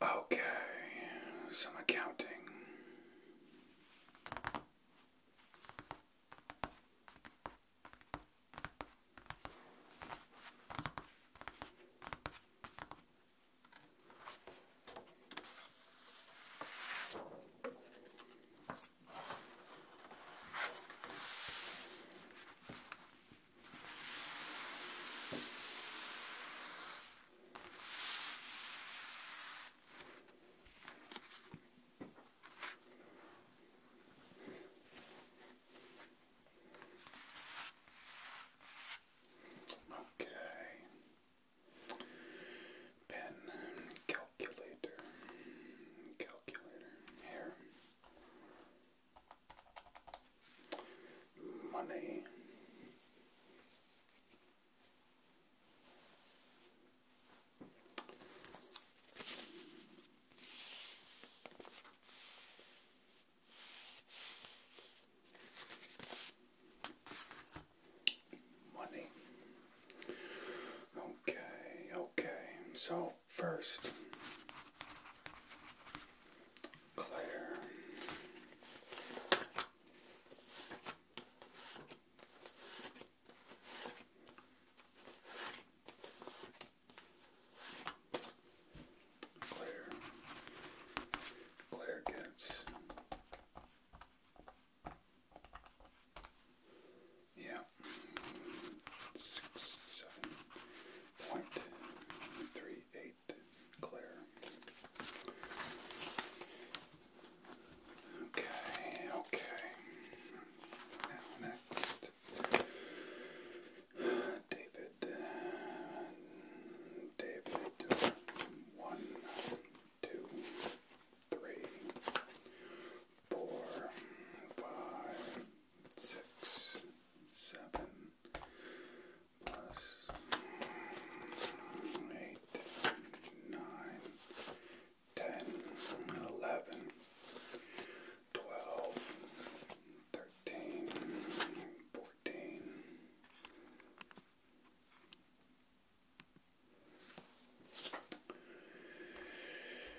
Okay, some accounting. Okay. Pen, calculator, calculator, here money. Money. Okay, okay. So first. Claire. Claire. Claire gets. Yeah. Six, seven, point three eight clear. Okay, okay. Now next, David, David, one, two, three, four, five, six, seven, plus eight, nine, ten, fourteen.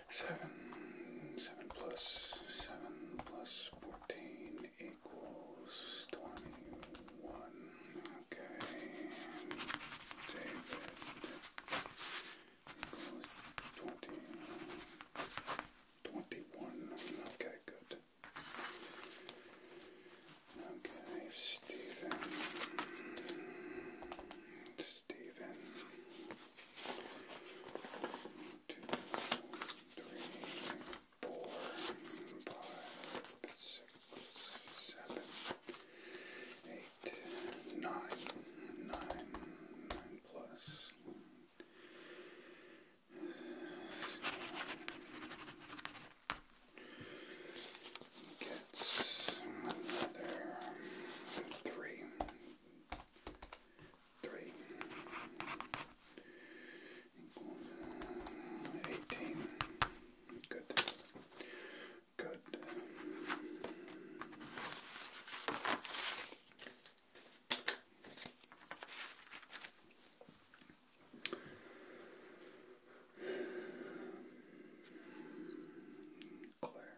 Seven, seven plus seven plus four 14 equals 21. Okay, David equals 20, 21. Okay, good. Okay, Stephen. Stephen two, three, four, five, six, seven, eight, nine, nine, nine plus. Uh, gets another three, three equals Good. Good. Claire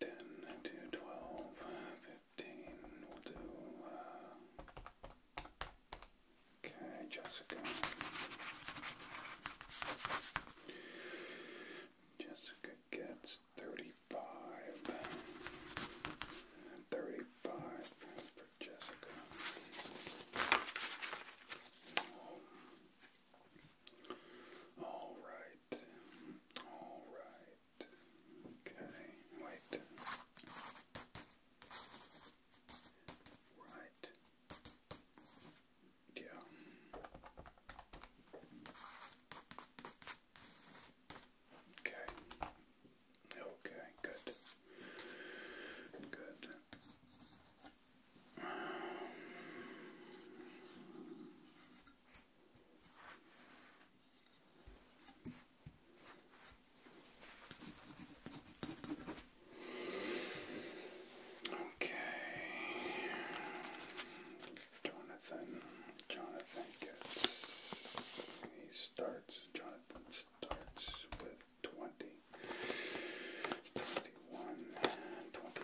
10 to 12, we'll do, okay, Jessica, Jessica gets 35, 35 for Jessica. All right. All right. Okay. Wait. Right. Yeah. Okay. Okay, good. Good. Okay. Jonathan. Jonathan gets he starts Jonathan starts with 20 20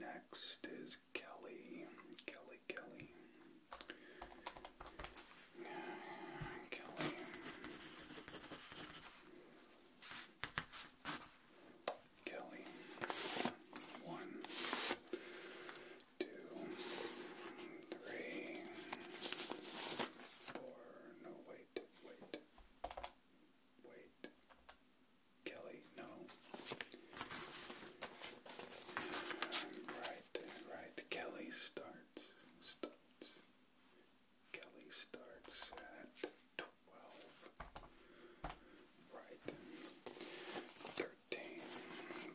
Next is Kelly. Kelly, Kelly. Kelly. Kelly. One two, three, four, no, wait, wait, wait, Kelly, no. Right, right, Kelly starts, starts, Kelly starts at 12, right, 13,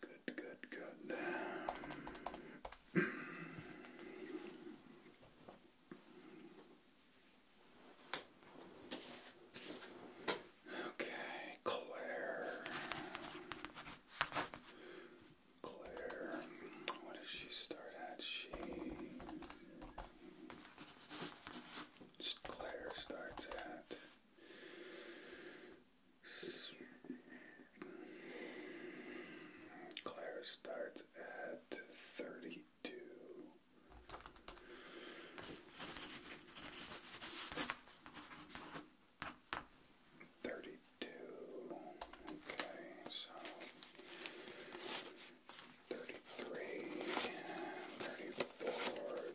Good, good, good. okay, Claire. Claire, what does she start at? She. Claire starts at Claire starts at thirty two. Thirty two. Okay, so thirty three, thirty four,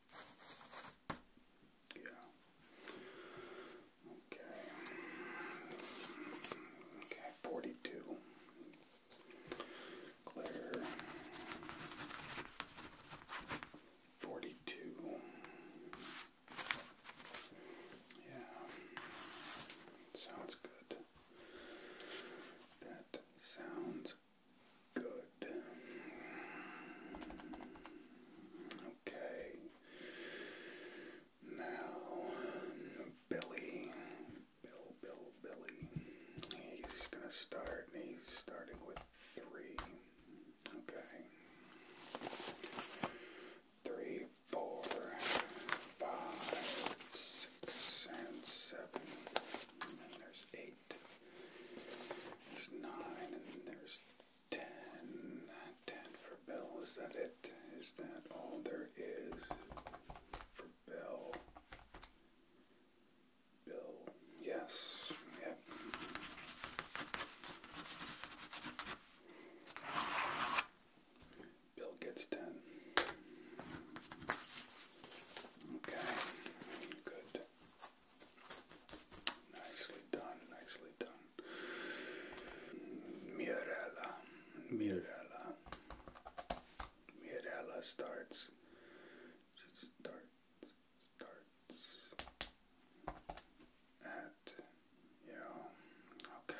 Yeah. Okay. Okay, forty two. Claire forty two. Yeah. Sounds good. That sounds Good. Okay. Now, Billy. Bill, Bill, Billy. He's going to start, and he's starting with three. Okay. Three, four, five, six, and seven. And then there's eight. There's nine, and then there's Ten. for Bill. Is that it? Is that all there is for Bill? Bill. Yes. Yep. Bill gets ten. Okay. Good. Nicely done, nicely done. Mirella, Mirella. Mirella starts. She starts, starts at, you okay.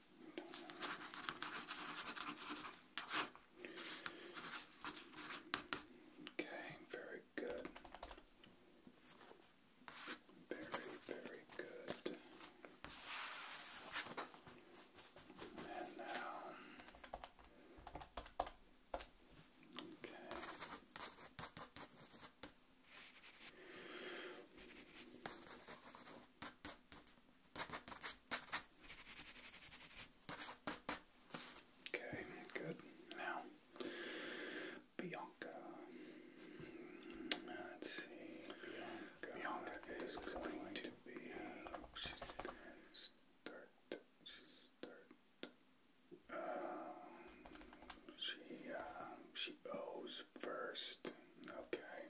Okay, very good. Very, very good. And now, okay. Okay, good. Now, Bianca. Let's see. Bianca, is, going, to be. she's going to start. She's start. Um, she uh, she owes first. Okay,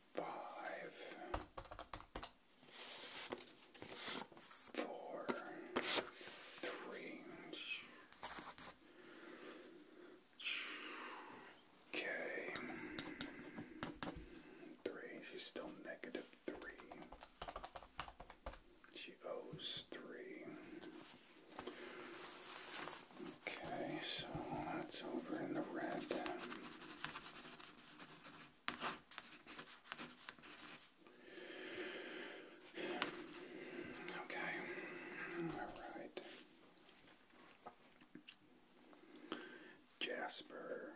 five, four, three. Okay. Three. She's still negative three. She owes three. Okay, so that's over in the red. Okay. Alright. Jasper.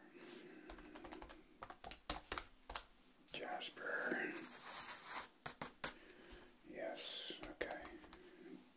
Jasper. Yes, okay.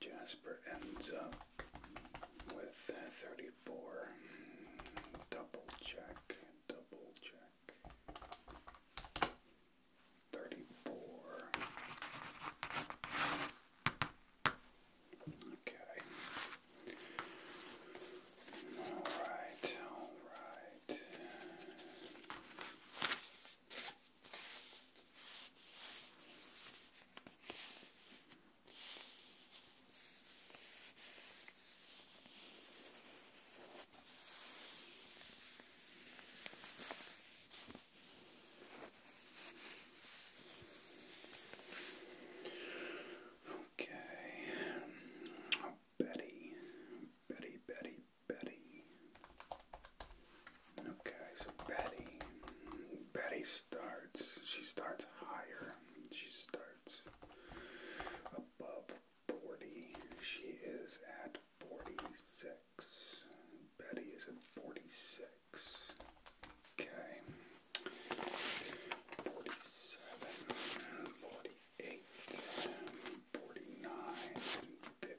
Jasper ends up with 34. Double check, double check. 34. Okay. All right, all right. Okay, oh, Betty, Betty, Betty, Betty. Okay, so Betty. Betty starts. She starts higher. She starts above 40. She is at 46. Betty is at 46. Okay. 47, 48, 49,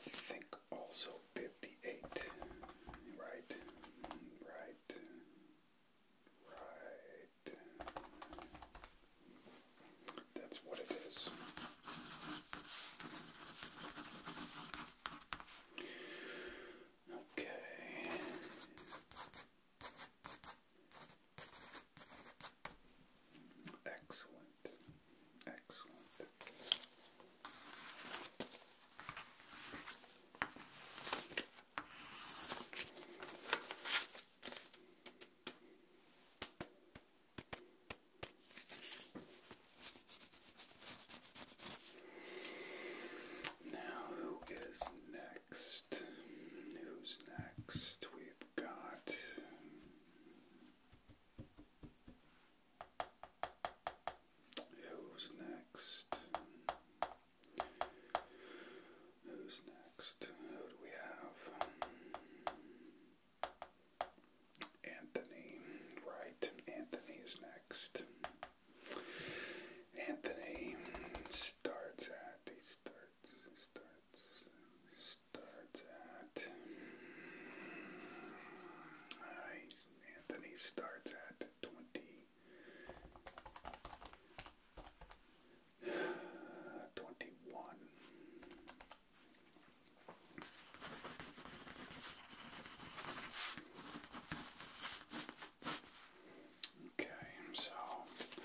I think also 58. Right, right, right. That's what it is. Okay. Excellent. Excellent. Now, who is next? Who's next? We've got Who's next? Who's next? Who do we have? Anthony, right? Anthony is next. Anthony starts at starts, starts at. Uh, Anthony starts at 20. 21. Okay, so 21.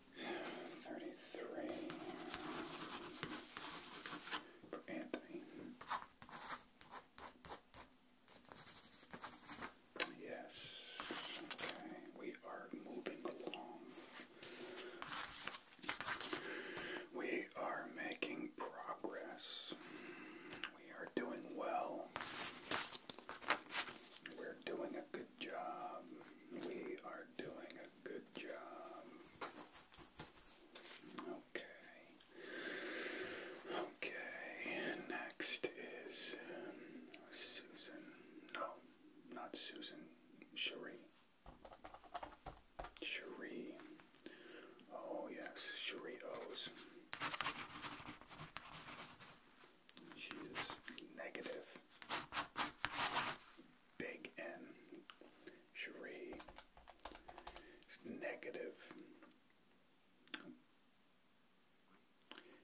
33 for Anthony. Yes. Okay, we are moving along. We are making progress. We are doing well. We're doing a good good job. We are doing a good job. Okay. Okay. Next is Susan. No, not Susan. Cherie. Cherie. Oh, yes. Cherie O's. She is negative big N. Cherie is negative.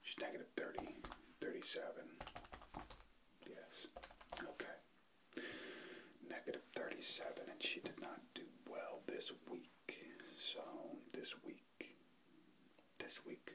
She's negative 30, 37. Yes. Okay. Negative 37, and she did not do well this week. So, this week, this week,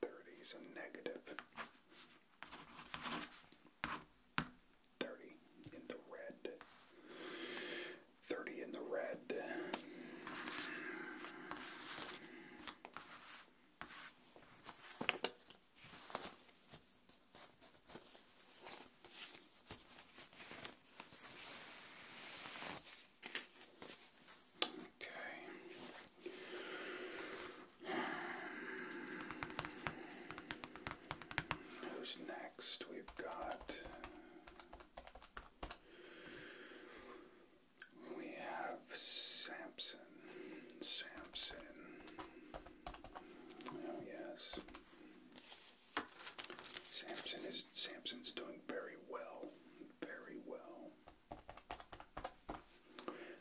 Thirty, so negative thirty in the red. Thirty in the red. Okay. Who's next? We've got. We have Samson. Samson. Oh yes. Samson is Samson's doing very well. Very well.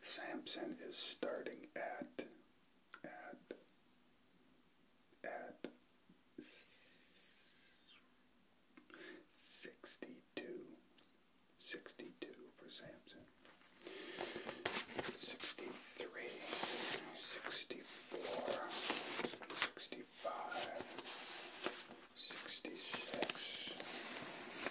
Samson is starting at at at sixty two. Sixty two for Samson. Sixty three. Sixty four. Sixty five. Sixty six.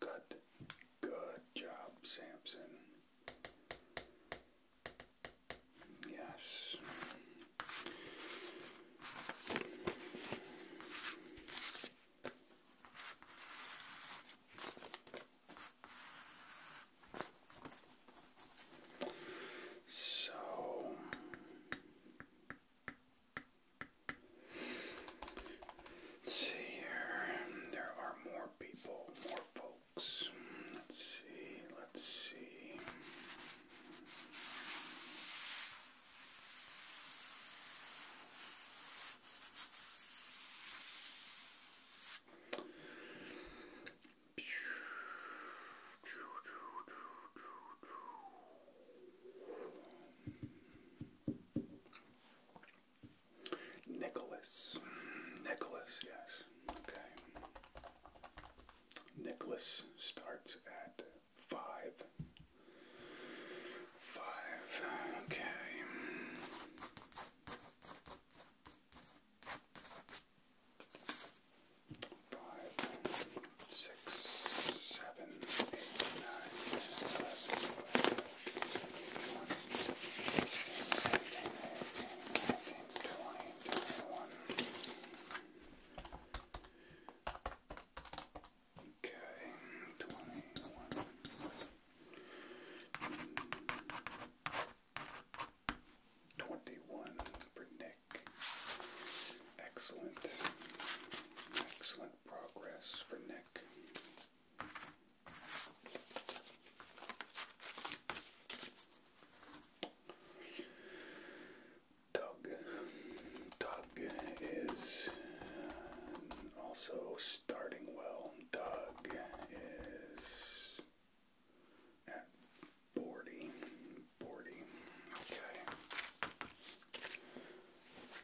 Good. Good job, Samson. Yes. So let's see here. There are more more people, more folks. Let's see, let's see. Nicholas. Nicholas, yes. Okay. Nicholas starts at five. Five. Okay. Five, six, seven, eight, nine, Okay, twenty one. Twenty one for Nick. Excellent. Excellent progress for Nick. Doug. Tug is also starting well. Doug is at 40. 40. Okay.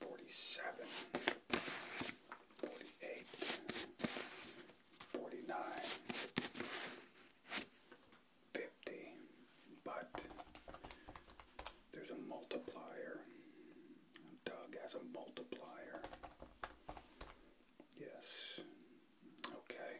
47, 48, 49, 50, but there's a multiplier. Doug has a multiplier. Yes. Okay.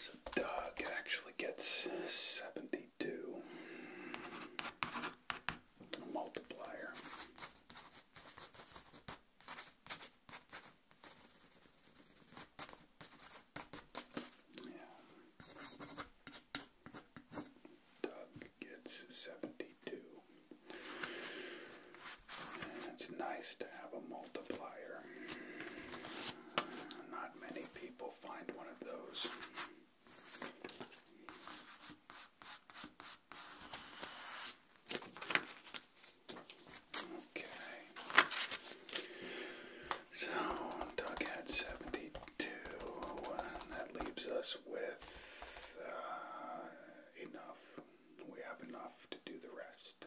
So Doug actually gets seventy two a multiplier. Yeah. Doug gets 72. it's nice to have a multiplier. Not many people find one of those. Okay. So Doug had seventy two. That leaves us with uh, enough. We have enough to do the rest.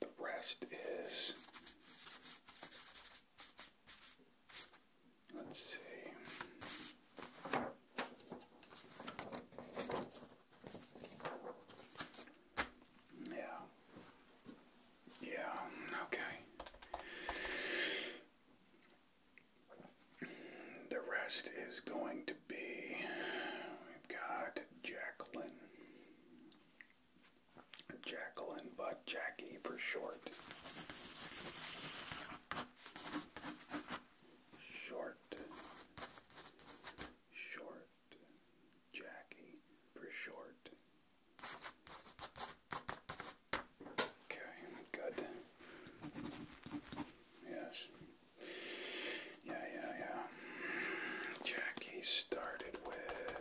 The rest is Let's see. Yeah. Yeah, okay. The rest is going to be we've got Jacqueline. Jacqueline by Jackie for short. Short. Short. Jackie for short. Okay, good. Yes. Yeah, yeah, yeah. Jackie started with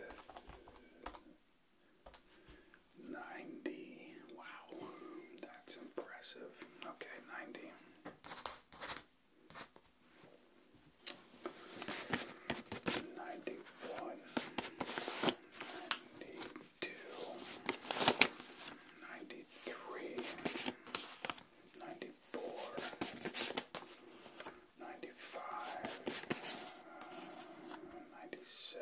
90. Wow, that's impressive. Okay, 90. Ninety one, ninety two, ninety three, ninety four, ninety five, ninety six.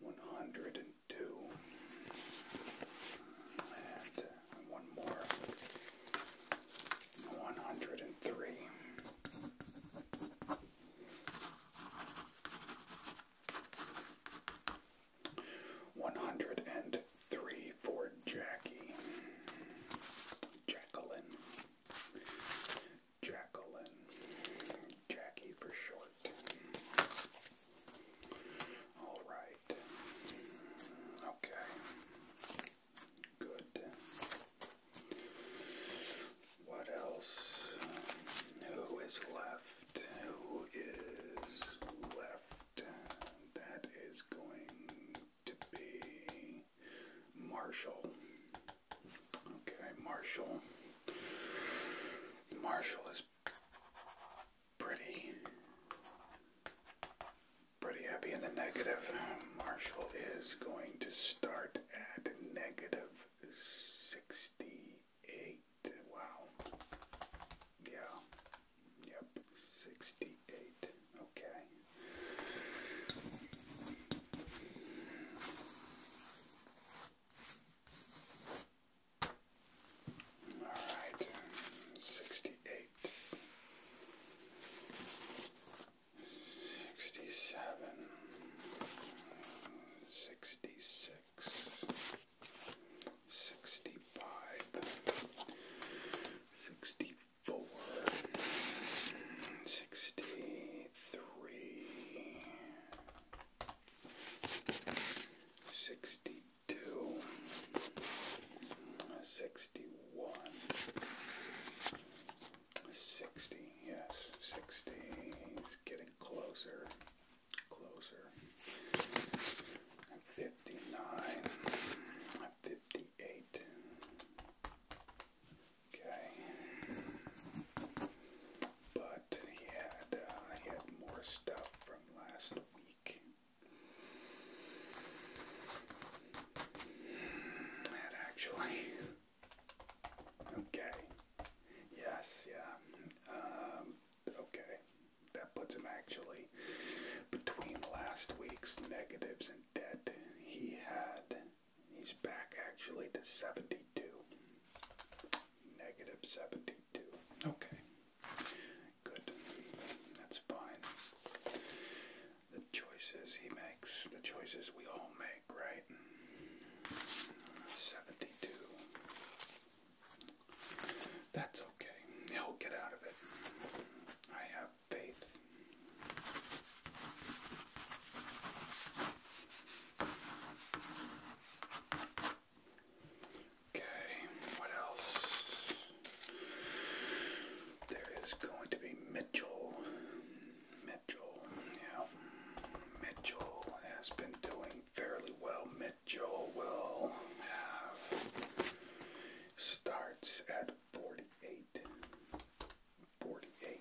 102. And one more. 103. One hundred and three for Jackie, Jacqueline, Jacqueline, Jackie for short. All right. Okay. Good. What else? Who is left? Who is left? That is going to be Marshall. Okay, Marshall. Marshall is pretty pretty heavy in the negative. Marshall is going to start at negative 68. Wow. Yeah. Yep. 68. Okay. All right, sixty-eight, sixty-seven, sixty-six, sixty-five, sixty-four, sixty-three sixty two, sixty one, sixty, yes, sixty. He's getting closer, closer. Fifty nine, fifty eight. Okay but he had uh, he had more stuff from last week. That actually. Okay. Yes. Yeah. Um, okay. That puts him actually between last week's negatives and debt. He had. He's back actually to 72. Negative 72. Okay. Good. That's fine. The choices he makes, the choices we all make, right? 72. That's okay. He'll get out of it. I have faith. Okay, what else? There is going to be Mitchell. Mitchell, yeah. Mitchell has been doing fairly well. Mitchell will have starts at 48. 48.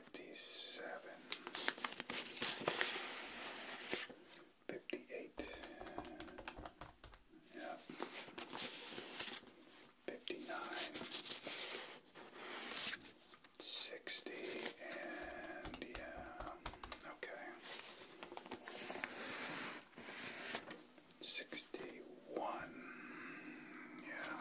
Fifty-seven, fifty-eight, yep. fifty-nine, sixty, and yeah, okay. Sixty-one, yeah.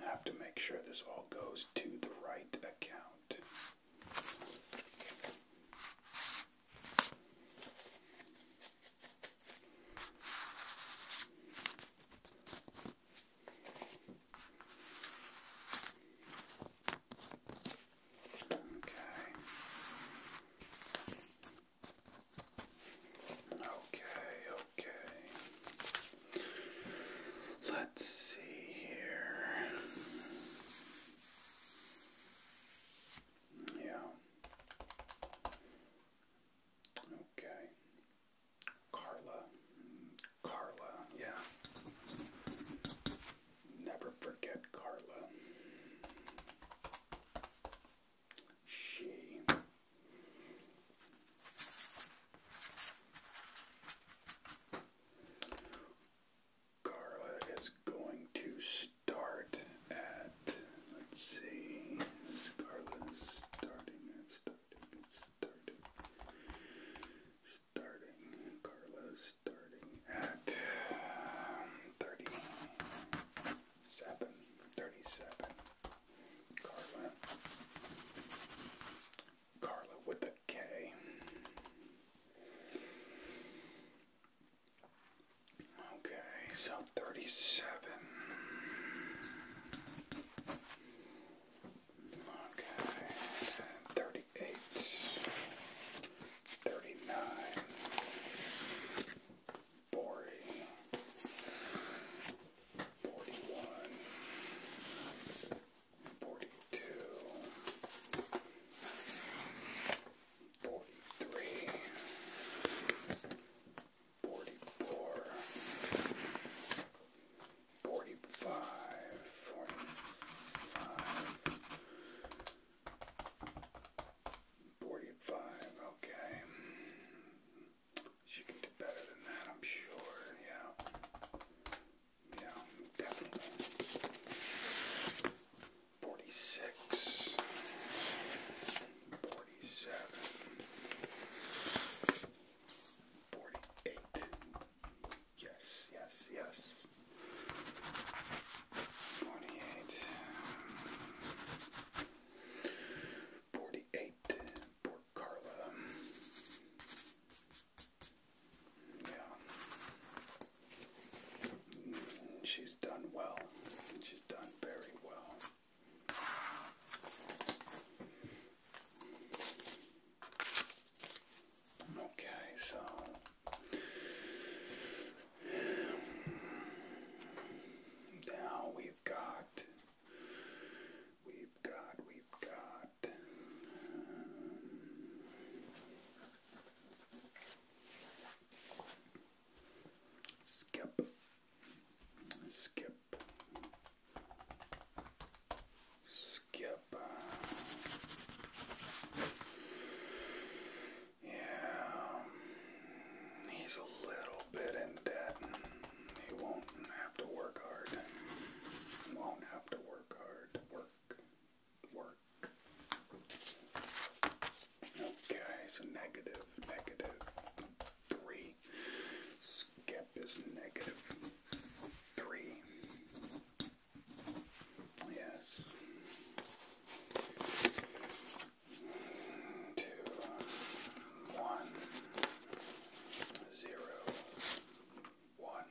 I have to make sure this all goes to the right account. Okay. Okay, okay. Let's see here. Yeah. Okay. Carla. Carla, yeah. Never forget Carla she is going to start at let's see is starting at starting starting starting Carla starting at thirty Seven, thirty-seven. Carla. Carla with a K. Okay, so thirty-seven. Okay, thirty-eight. Thirty-nine. 40, 41, 42, 43, 44, 45, 45, Forty-five. Okay. She can do better than that, I'm sure. Yeah. Yeah, definitely. Forty-six. Forty-seven. Forty-eight. Yes, yes, yes. Forty-eight. Forty-eight Port Carla. Yeah. She's done well. She's done very well. Okay, so now we've got, we've got, we've got. skip, skip, skip. Yeah, he's a little bit in debt. He won't have to work hard. Won't have to work hard. Work. Work. Okay, so negative, negative three. Skip is negative three. Yes two, one, zero, one,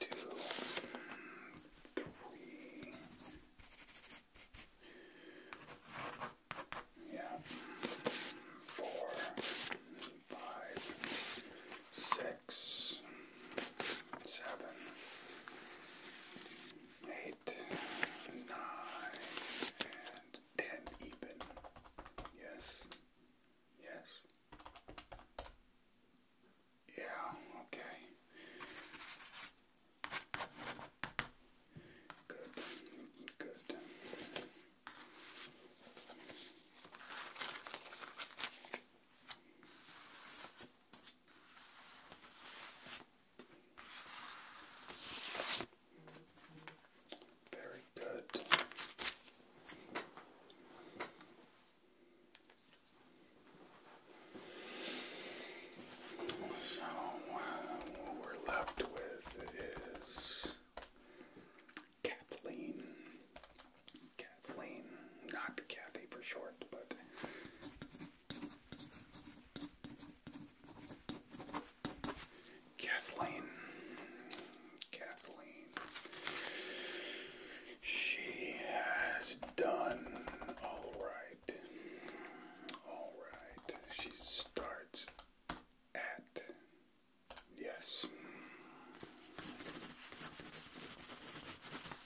two, three. Yeah. Four, five, six, seven, eight, nine, and ten even. Yes. Yes. Yeah, okay. Good, good. Very good. So, what we're left with is Kathleen. Kathleen, not Kathy for short, but Kathleen. Kathleen. She has done all right. All right. She starts at yes.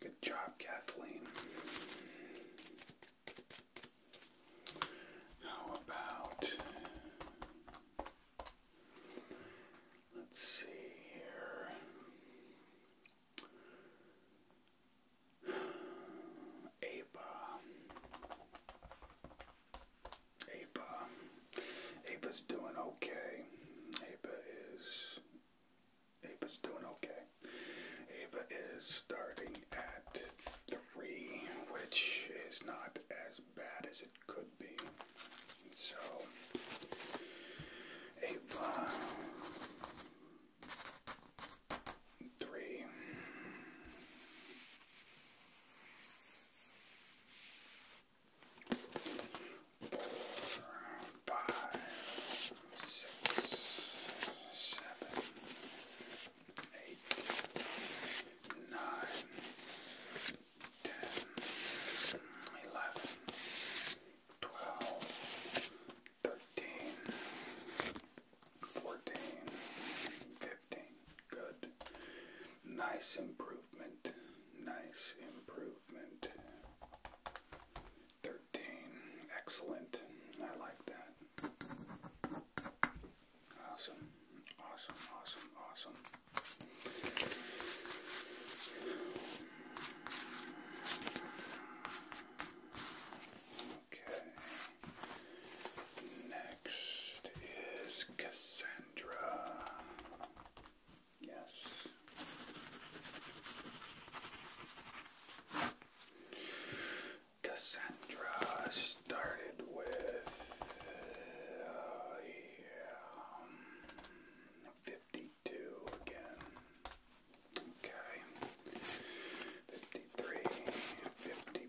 Good job, Kathleen. How about let's see here. Ava. Ava. Uh, Apa's doing okay. Apa is. Apa's doing okay. Ava is starting at three, which is not as bad as it could be. So, Ava uh, three five, six, seven, eight, nine, ten, eleven, twelve, thirteen, fourteen, fifteen. Good. Nice improvement. Nice improvement. Thirteen. Excellent. I like that. Awesome. Awesome. Awesome. Awesome. Okay. Now Next is Cassandra. Yes. Cassandra started with uh, yeah, um, 52 again. Okay. 53,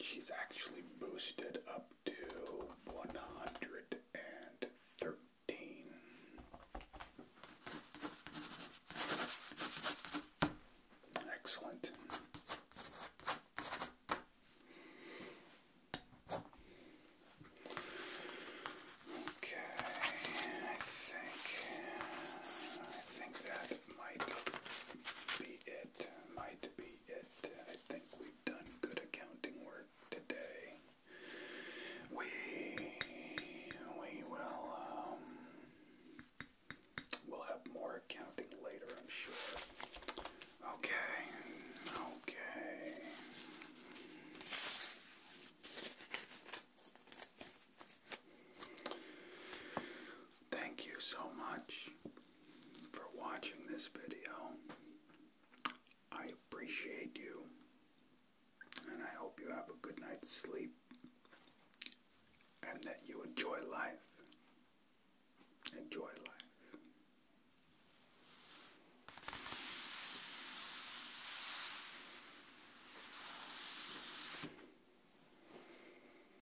She's actually boosted up to 113. Excellent. Okay, I think I think that might be it might be it. I think we've done good accounting work today. We we will um we'll have more accounting later, I'm sure. Okay. Okay. Thank you so much for watching this video. I appreciate you, and I hope you have a good night's sleep, and that you enjoy life. Enjoy life.